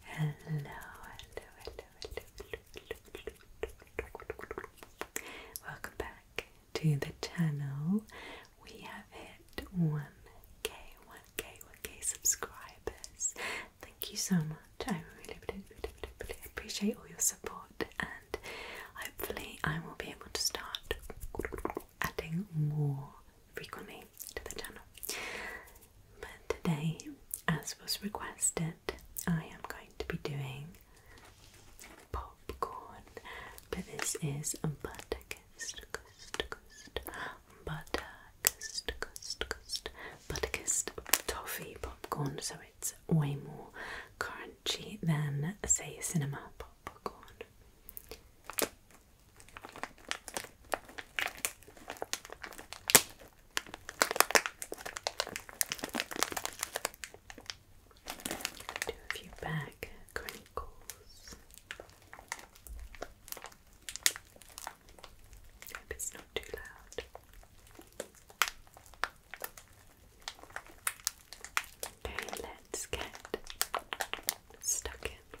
Hello, hello, hello, hello. Welcome back to the channel. We have hit 1k, 1k, 1k subscribers. Thank you so much. I really, really, really, really appreciate all your support, and hopefully, I will be able to start adding more frequently to the channel. But today, as was requested, I am going to be doing popcorn. But this is butter kissed, kissed, kissed, butter kissed, kissed, toffee popcorn. So it's way more crunchy than, say, cinema popcorn. Do a few back crinkles. Hope it's not too loud. Okay, let's get stuck in.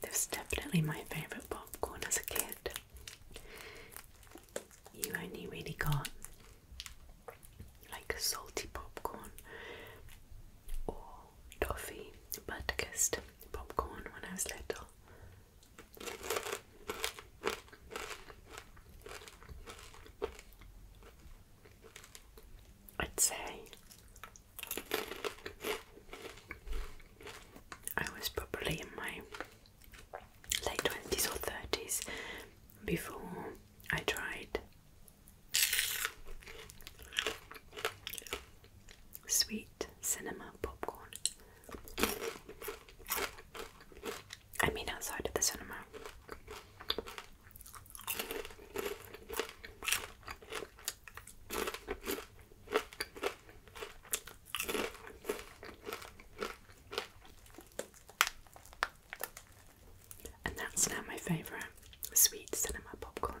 That was definitely my favourite popcorn as a kid. You only really got like salty popcorn or toffee, but popcorn when I was little. I'd say I was probably in my late 20s or 30s before I tried sweet cinema popcorn. I mean, outside of the cinema. And that's now my favourite sweet cinema popcorn.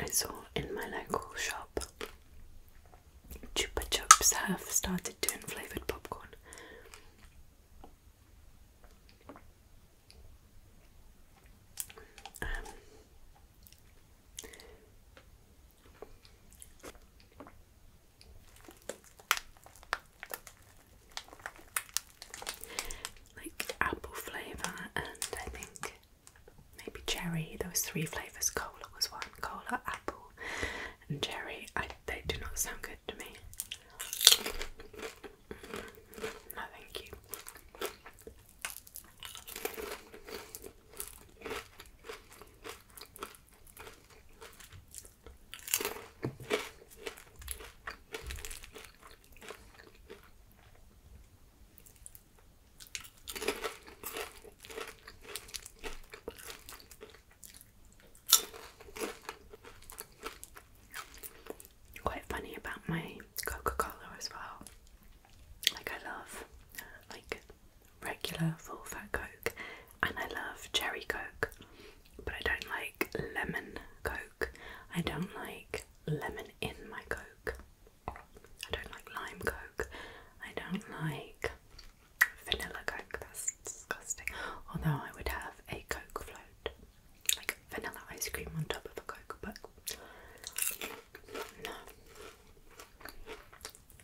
I saw in my local shop Chupa Chups have started doing flavoured popcorn. Um, like apple flavour and I think maybe cherry. Those three flavours. Cola was one. Cola, apple and cherry. I, they do not sound good to me. No thank you. Quite funny about my Coca Cola as well. Like, I love like regular full fat Coke, and I love cherry Coke, but I don't like lemon Coke. I don't like lemon in my Coke. I don't like lime Coke. I don't like vanilla Coke. That's disgusting. Although I would have a Coke float, like vanilla ice cream on top of a Coke, but no.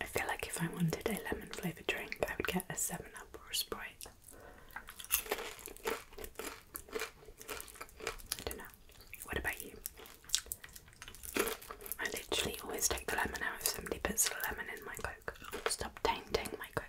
I feel like if I wanted a lemon flavoured drink, I would get a 7 Up or a Sprite. I don't know. What about you? I literally always take the lemon out if somebody puts lemon in my Coke. Stop tainting my Coke.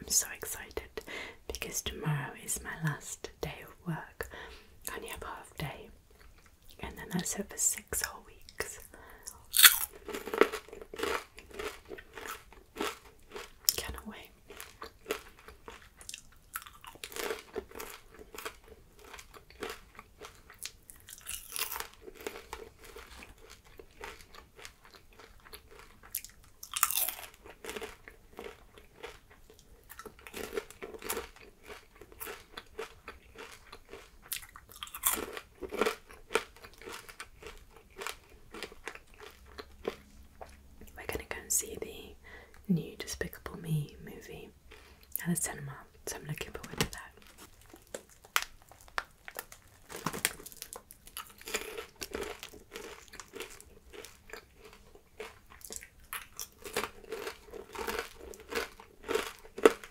I'm so excited because tomorrow is my last day of work. I only have half day and then I said for six whole weeks. Cannot wait. We're gonna go and see the new Despicable Me movie at the cinema, so I'm looking forward to that.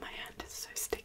My hand is so sticky.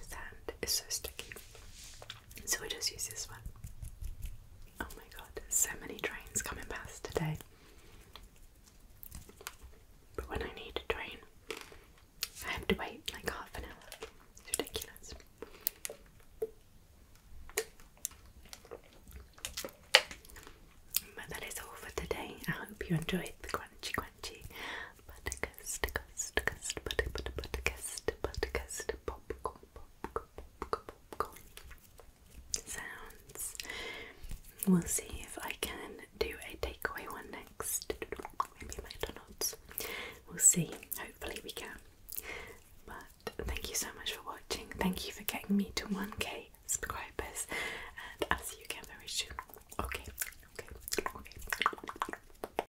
sand is so sticky, so we just use this one. Oh my god, so many trains coming past today. But when I need a train, I have to wait like half an hour. ridiculous. But that is all for today. I hope you enjoyed the crunchy crunchy buttercust, cust, cust, butter, butter, buttercust, buttercust, popcorn, popcorn, popcorn, popcorn sounds. We'll see if I can do a takeaway one day next. Maybe McDonald's. We'll see. Hopefully, we can. But thank you so much for watching. Thank you for getting me to 1k subscribers. And I'll see you again very soon. Okay, okay, okay.